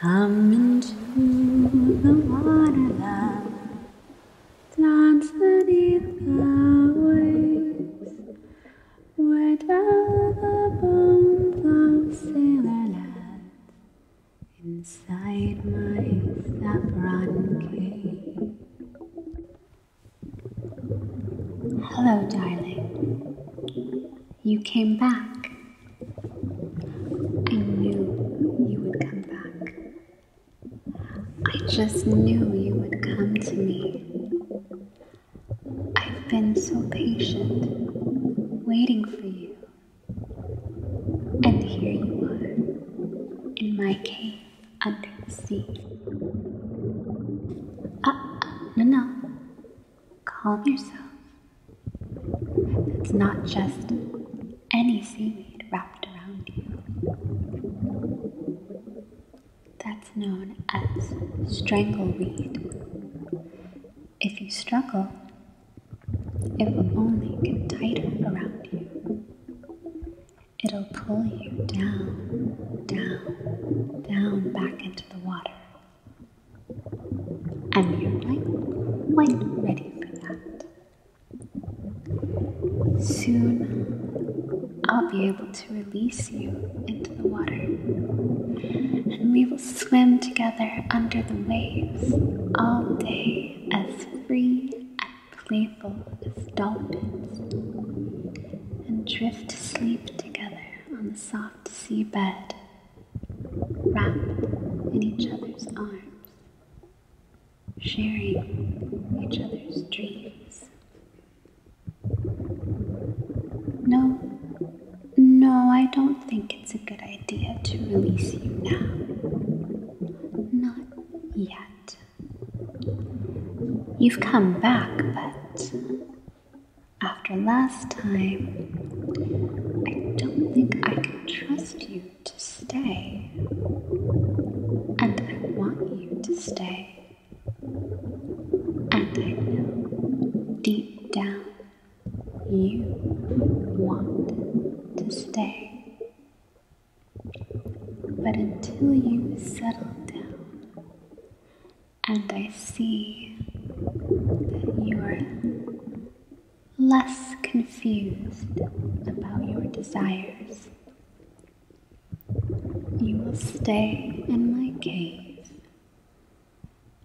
Come into the waterland, dance beneath the waves, where dwell the bones of sailor Inside my saffron cave. Hello, darling you came back. I knew you would come back. I just knew you would come to me. I've been so patient, waiting for you. And here you are, in my cave under the sea. Ah, no, no. Calm yourself. It's not just any seaweed wrapped around you. That's known as strangleweed. If you struggle, it will only get tighter around you. It'll pull you down, down, down back into the water. And you're like quite ready for that. Soon I'll be able to release you into the water. And we will swim together under the waves all day as free and playful as dolphins and drift to sleep together on the soft sea bed, wrapped in each other's arms, sharing each other's dreams. No, no, I don't think it's a good idea to release you now. Not yet. You've come back, but after last time, I don't think I can trust you to stay. And I want you to stay. And I know deep down you want to stay. But until you settle down and I see that you're less confused about your desires, you will stay in my cave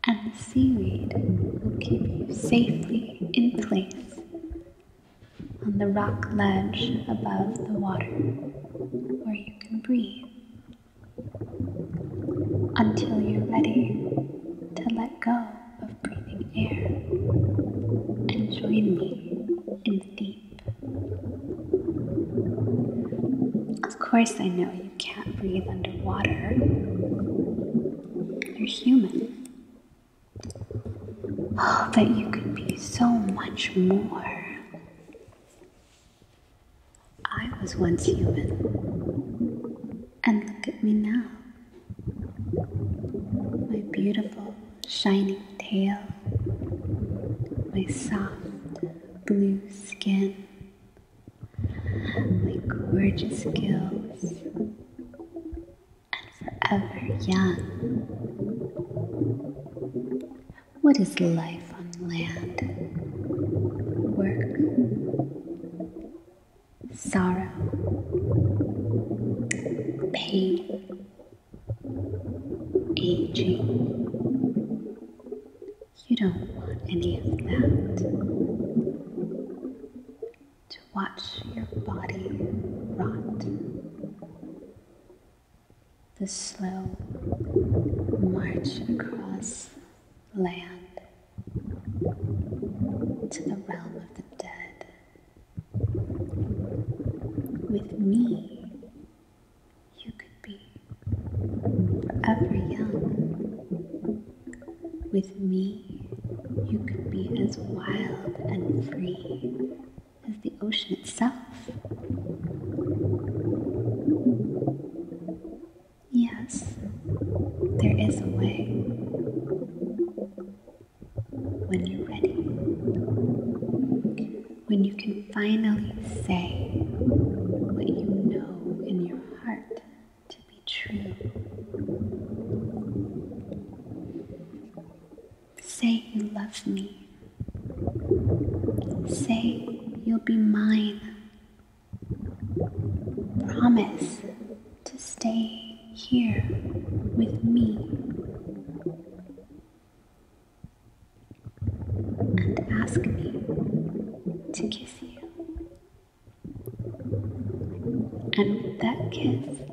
and the seaweed will keep you safely in place on the rock ledge above the water where you can breathe until you're ready to let go of breathing air and join me in the deep. Of course, I know you can't breathe underwater. You're human. Oh, that you could be so much more. I was once human. And look at me now. My beautiful, shining tail. My soft, blue skin. My gorgeous gills and forever young. What is life on land? Work, sorrow, pain, aging. You don't want any of that watch your body rot. The slow march across land to the realm of the dead. With me, you could be forever young. With me, you could be as wild and free as the ocean itself. Yes, there is a way. When you're ready, when you can finally say what you know in your heart to be true. Say you love me. Say you'll be mine. Promise to stay here with me. And ask me to kiss you. And with that kiss,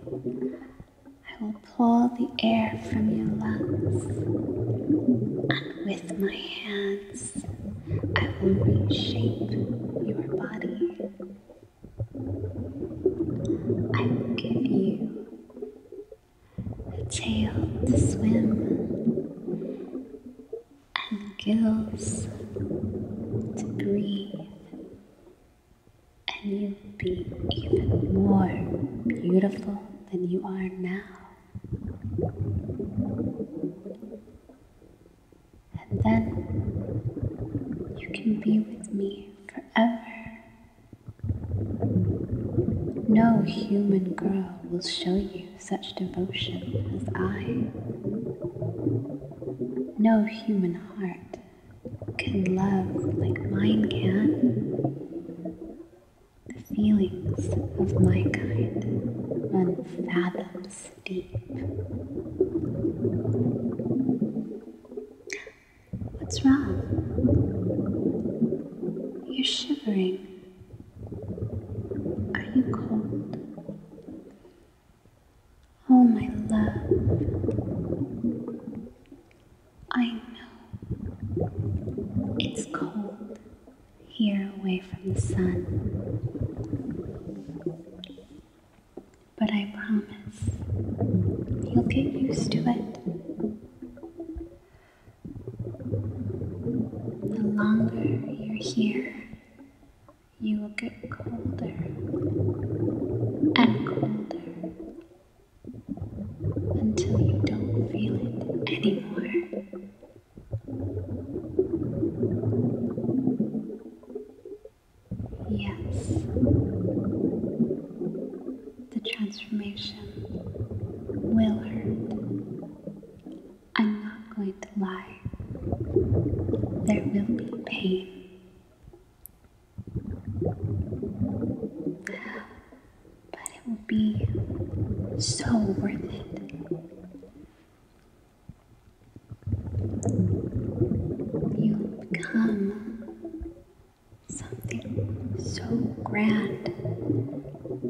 I will pull the air from your lungs, and with my hands, I will reshape your body. I will give you a tail to swim and gills to breathe and you'll be even more beautiful than you are now. And then you can be with me forever. No human girl will show you such devotion as I. No human heart can love like mine can, the feelings of my kind unfathoms deep. What's wrong? You're shivering. Are you cold? Oh, my love. I know it's cold here away from the sun. But I promise you'll get used to it. The longer you're here, you will get colder and colder until you don't feel it anymore. Yes, the transformation will hurt I'm not going to lie. There will be pain. But it will be so worth it. You'll become something so grand,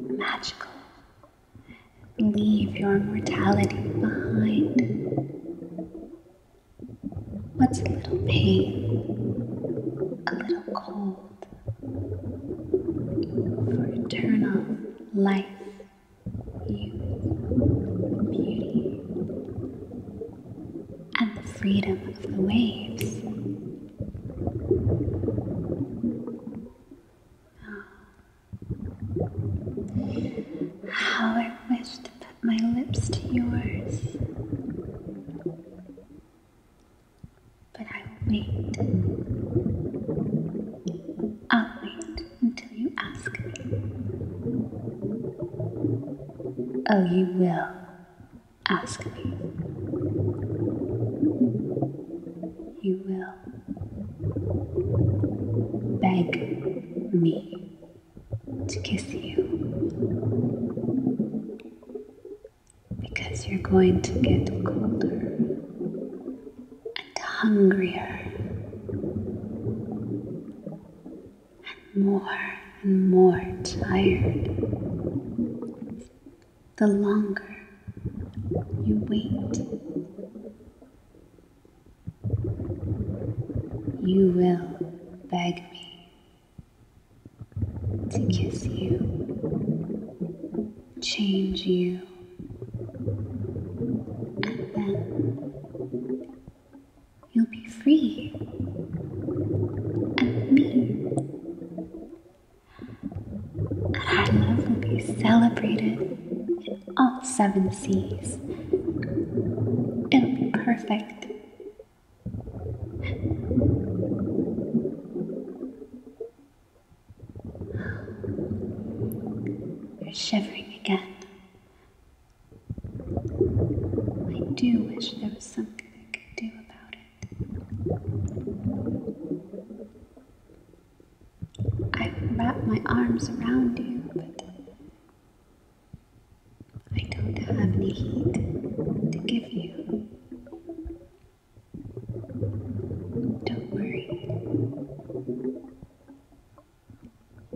magical, Leave your mortality behind. What's a little pain, a little cold, for eternal life, youth, beauty, and the freedom of the waves? Ah. How I wish to put my lips to yours. But I will wait. I'll wait until you ask me. Oh, you will ask me. You will beg me to kiss you because you're going to get colder and hungrier and more and more tired the longer you wait, you will beg me to kiss you, change you, and then you'll be free and me and our love will be celebrated in all seven seas. It'll be perfect. You're shivering again. I do wish there was something I could do about it. I wrap my arms around you, but I don't have any heat to give you. Don't worry.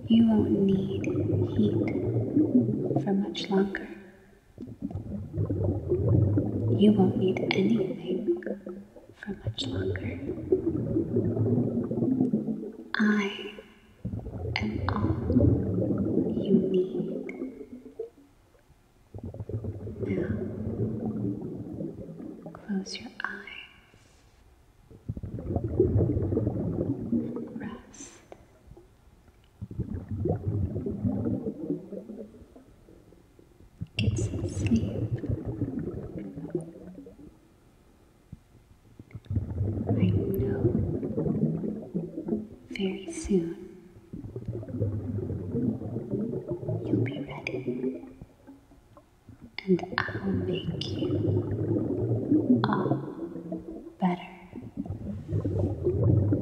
You won't need heat for much longer. You won't need anything for much longer. I am all you need. Now, close your eyes. Rest. It's sleep. I know very soon you'll be ready, and I'll make you all better.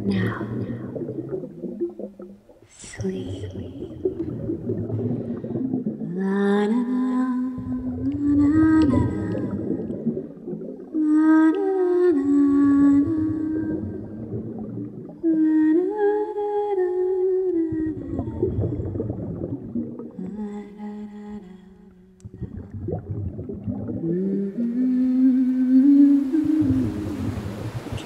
Now, now sleep. La, na, na, na,